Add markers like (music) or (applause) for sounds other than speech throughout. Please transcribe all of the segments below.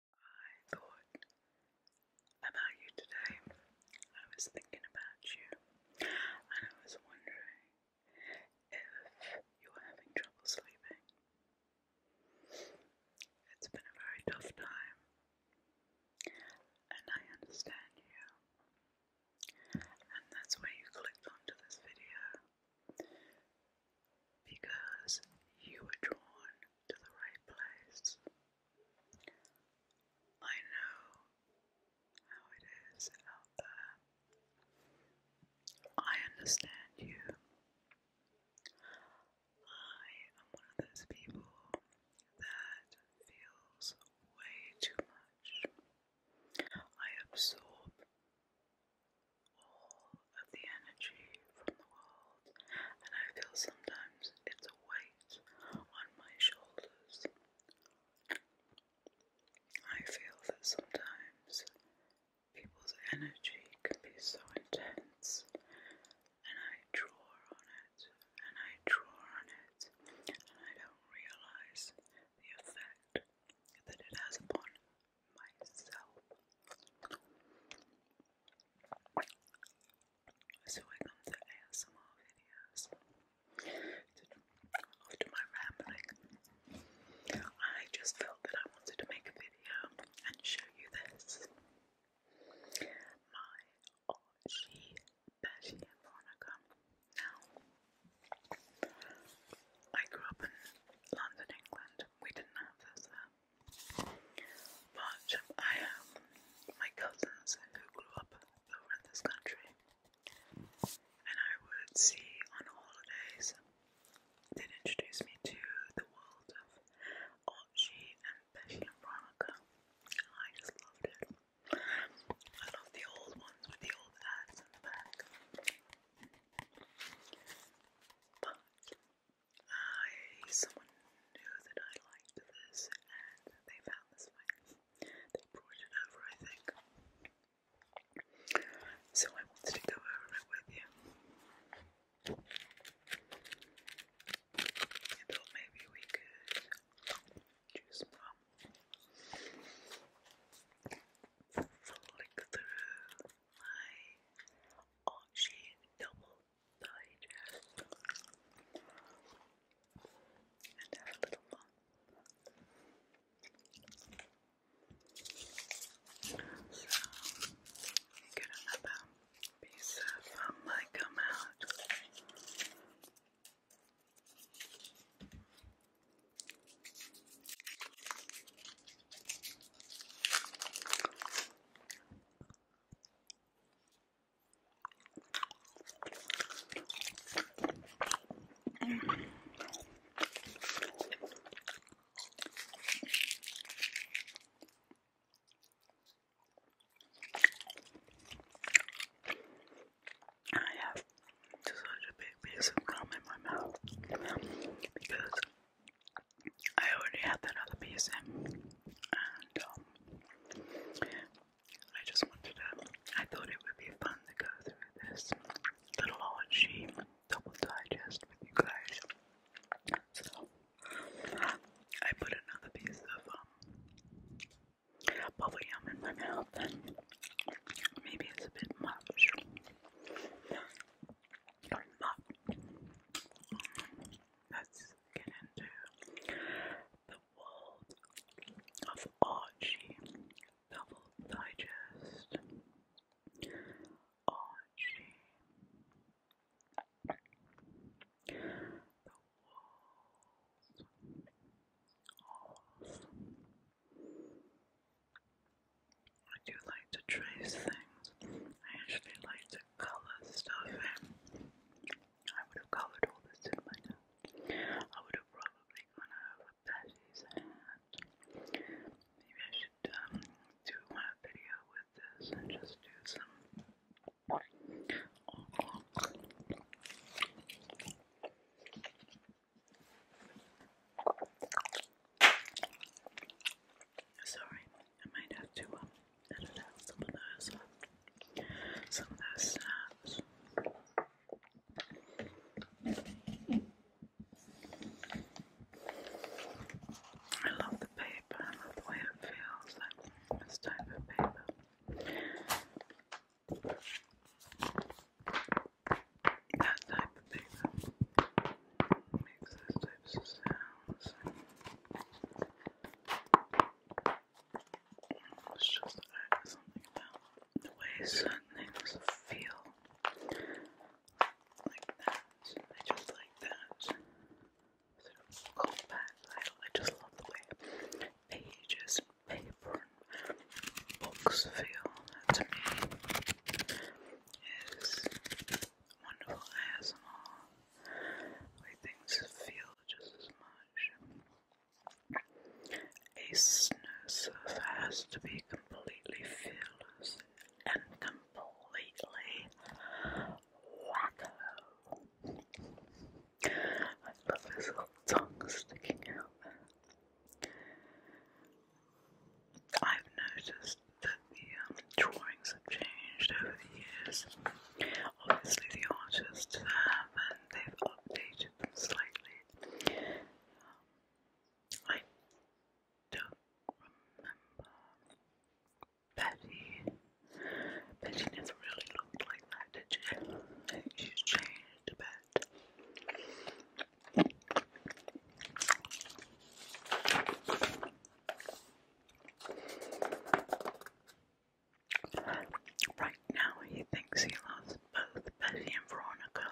I thought about you today. I was thinking about you, and I was wondering if you are having trouble sleeping. It's been a very tough time, and I understand you. And that's why you clicked onto this video because you were drawn to the right place. I know how it is out there. I understand you. I am one of those people that feels way too much. I absorb of the energy from the world, and I feel sometimes it's a weight on my shoulders. I feel that sometimes people's energy can be so intense, and I draw on it, and I draw on it, and I don't realize the effect that it has upon myself. So I to ASMR videos after my rambling. I just felt that I wanted to make a video and show you this. My Archie Betty and Now I grew up in London, England. We didn't have this there. Uh, but I have my cousins who grew up over in this country, and I would see on holidays. They'd introduce me to the world of Archie and Betty and Veronica, I just loved it. I love the old ones with the old ads in the back. But I someone knew that I liked this and they found this one. They brought it over, I think. So I wanted to go over it with you. I thought maybe we could choose one. Um, flick through my Archie double digest and have a little fun. So, get another piece of um, my gum out. I have such a big piece of gum in my mouth because I already had that other piece in, and um, I just wanted to. I thought it would be fun to go through this little orgy double digest with you guys. So I put another piece of um, bubble gum in my mouth, maybe it's a bit much let's get into the world of Archie Double Digest. Archie. The world of. I do like to trace things. I actually like to color stuff I would have covered all this in I would have probably gone over Betty's maybe I should um, do one video with this and just do some Sorry, I might have to um, I some of love the paper, I love the way it feels, like type of paper. That type of paper makes those types of sounds. It's just uh, something about the way things feel like that. I just like that. Sort of compact I just love the way pages paper books feel. to me is wonderful ASMR way things feel just as much. A snow surfer has to be completely fearless and completely wacko. I love his little tongue sticking out I've noticed that the um, drawings have changed over the years. Obviously, the artists have, and they've updated them slightly. Um, I don't remember Betty. Betty never really looked like that, did she? I think she's changed a bit. Right now, he thinks he loves both Betty and Veronica,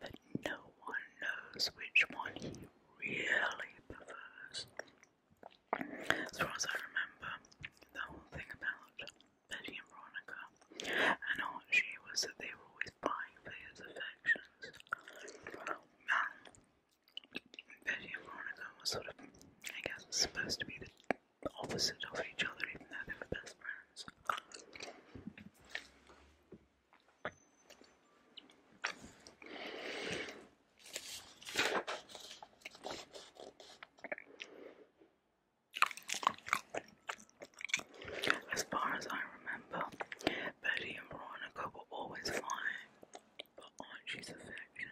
but no one knows which one he really prefers. As far as I remember, the whole thing about Betty and Veronica and Archie was that they were always vying for his affections. Veggie and Veronica were sort of, I guess, supposed to be the opposite of each other, even though they were best friends. As far as I remember, Betty and Veronica were always flying but Archie's affection,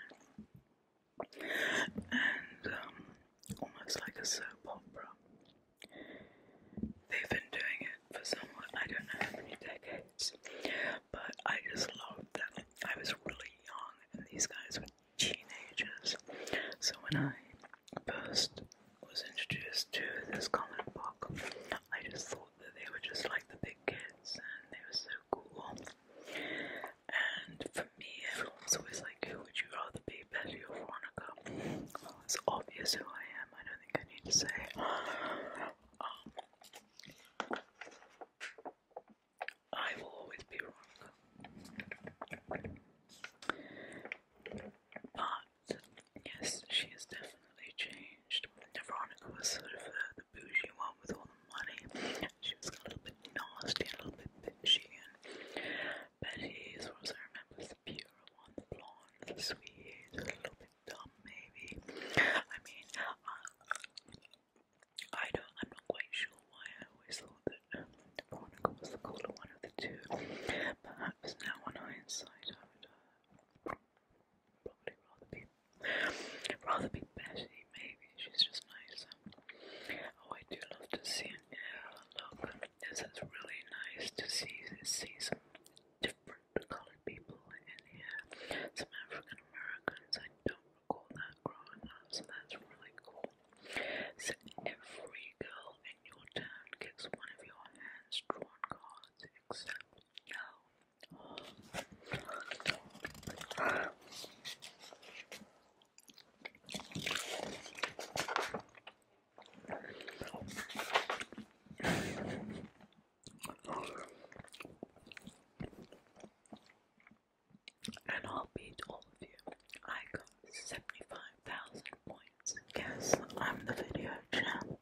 and um, almost like a soap opera. They've been doing it for somewhat, I don't know how many decades, but I just loved that. I was really young, and these guys were teenagers, so when I first was introduced to this comic book, I just thought thought that they were just like the big kids and they were so cool. And for me, everyone's always like, Who would you rather be, Betty or Veronica? Well, it's obvious who I am, I don't think I need to say. Um, I will always be Veronica. But yes, she has definitely changed engaged. Veronica was sort of the bougie one with all the money. She was a little bit nasty, a little bit bitchy, and Betty was, what I remember the pure one, the blonde, the sweet, a little bit dumb maybe. I mean, I don't, I'm not quite sure why I always thought that um, Veronica was the cooler one of the two. Perhaps now on hindsight probably rather be rather be Betty, maybe she's just nice. Oh, I do love to see an air look. This is really nice to see see some different colored people in here. Some African Americans, I don't recall that growing up, so that's really cool. So every girl in your town gets one of your hands drawn cards, except no, and I'll beat all of you. I got 75,000 points. Guess I'm the video champ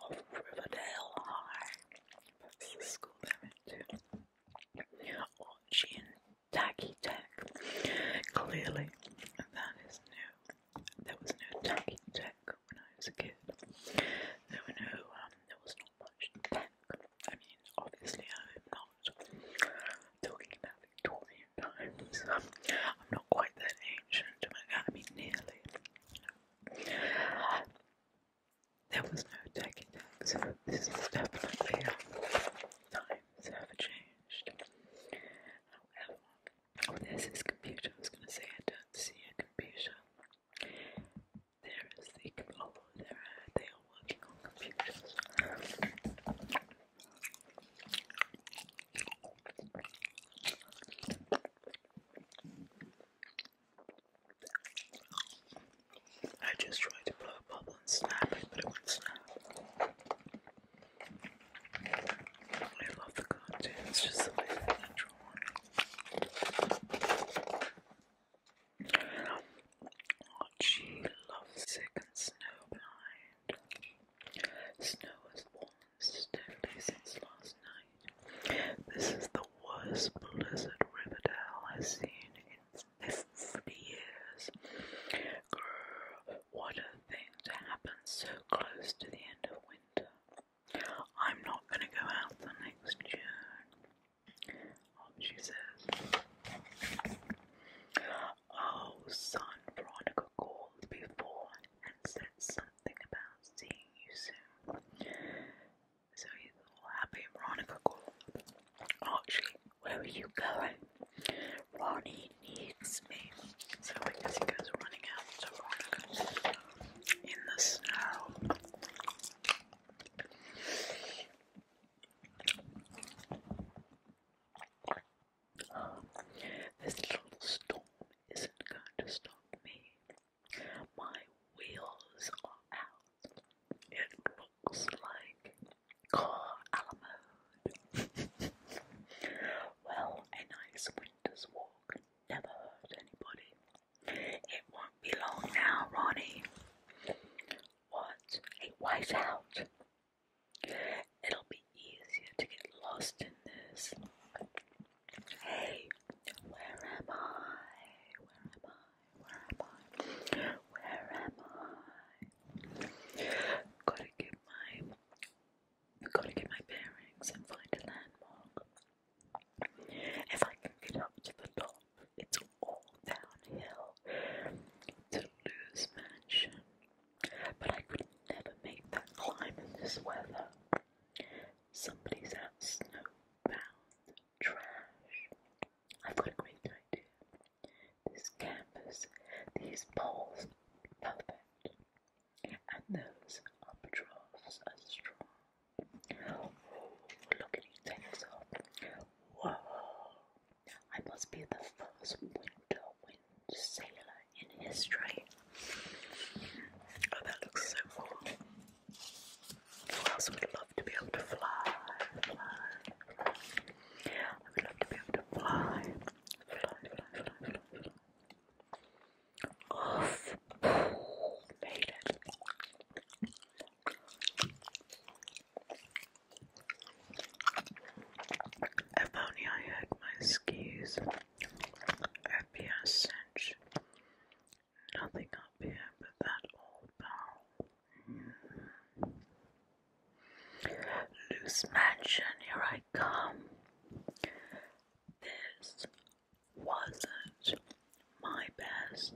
of Riverdale High. That's the school they went to. Orangey tacky tech. Clearly, that is new. There was no tacky tech when I was a kid. There were no, um, there was not much tech. I mean, obviously, I'm not talking about Victorian times. (laughs) I'm not quite that ancient. I mean, nearly. There was no taking So This is definitely how times have changed. However, oh, there's computer. I was going to say I don't see a computer. There is the oh, there are, they are working on computers. I just tried to blow a bubble and snap it, but it wouldn't snap. I love the content, it's just the way that Archie oh, loves sick and snowblind. Snow has fallen steadily since last night. This is the worst blizzard Riverdale has seen in 50 years. what a thing to happen so close to the end of winter. I'm not going to go out the next June, she says. Oh, son, Veronica called before and said something about seeing you soon. So he's all happy. Veronica called Archie, oh, where are you going? Ronnie needs me. So I guess he goes running out to Veronica in the snow. This little storm isn't going to stop me. My wheels are out. It looks like car Alamode. (laughs) well, a nice winter's walk never hurt anybody. It won't be long now, Ronnie. What? A whiteout? It'll be easier to get lost in this. Hey, where am I? Where am I? Where am I? Where am I? Gotta get my gotta get my bearings and find a landmark. If I can get up to the top, it's all downhill to Lou's mansion. But I could never make that climb in this weather. Somebody's out snowbound trash. I've got a great idea. This canvas, these poles, perfect. And those albatross are strong. Oh, look at he Whoa! I must be the first winter wind sailor in history. Oh, that looks so cool. Who else would love to be able to fly? I would love to be able to fly. Off. made it. If I had my skis at the Ascension. Nothing up here but that old barrel. Loose mansion, here I come. This wasn't my best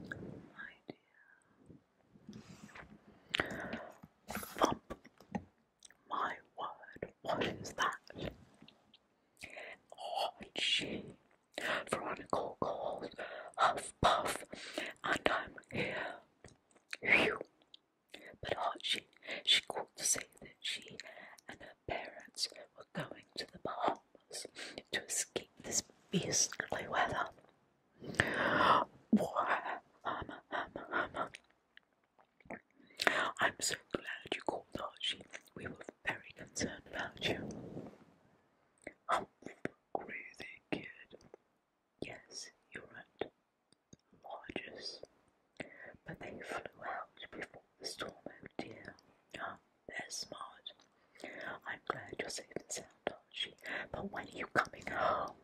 idea. Thump. My word, what is that? Oh, gee, Veronica called Huff Puff, and I'm here. Phew. But hot she, she called to say that she and her parents were going to the Bahamas to escape this beastly weather. I'm so glad you called, Archie. We were very concerned about you. Humph, groovy kid. Yes, you're right. Largest. But they flew out before the storm, oh dear. Ah, they're smart. I'm glad you're safe and sound, Archie. But when are you coming home?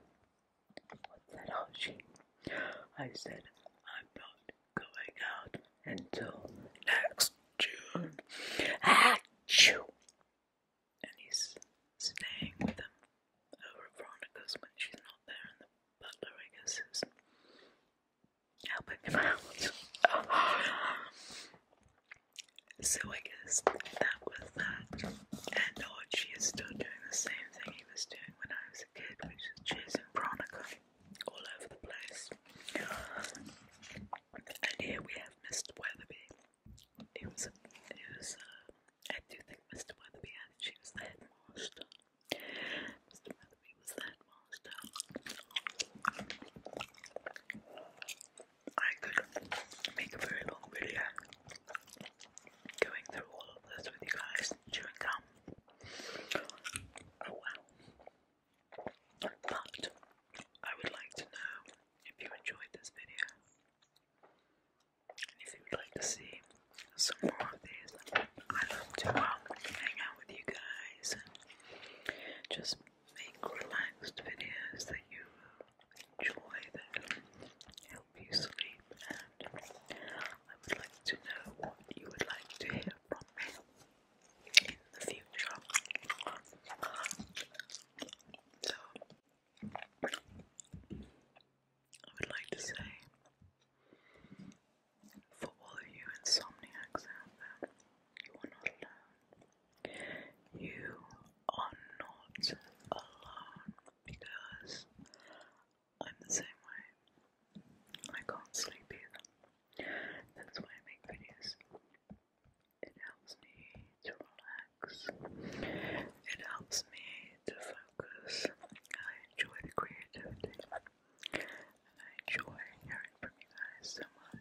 What's that, Archie? I said, I'm not going out until next June. Achoo! And he's staying with him over Veronica's when she's not there, and the butler, I guess, is helping him out. so I guess that was that. And Archie is still doing the same thing he was doing when I was a kid, which is chasing Veronica all over the place. And here we have Mr. Weatherby. He was, he was. I uh, do think Mr. Weatherby actually was the headmaster. Mr. Weatherby was headmaster. I could make a very long video going through all of this with you guys, chewing gum. Oh wow. But I would like to know if you enjoyed this video and if you would like to see some more of these. I love to hang out with you guys and just make relaxed videos that you enjoy, that help you sleep. And I would like to know what you would like to hear from me in the future. So, I would like to say for all of you insomniacs out there, you are not alone. because I'm the same way. I can't sleep either. That's why I make videos. It helps me to relax. It helps me to focus. I enjoy the creativity. And I enjoy hearing from you guys so much.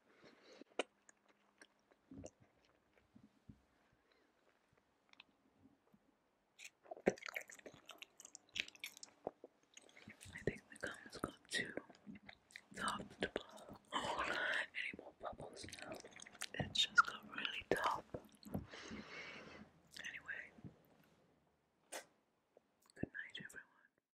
I think the gum's got too tough to blow any more bubbles It's just got really tough. Anyway, good night, everyone.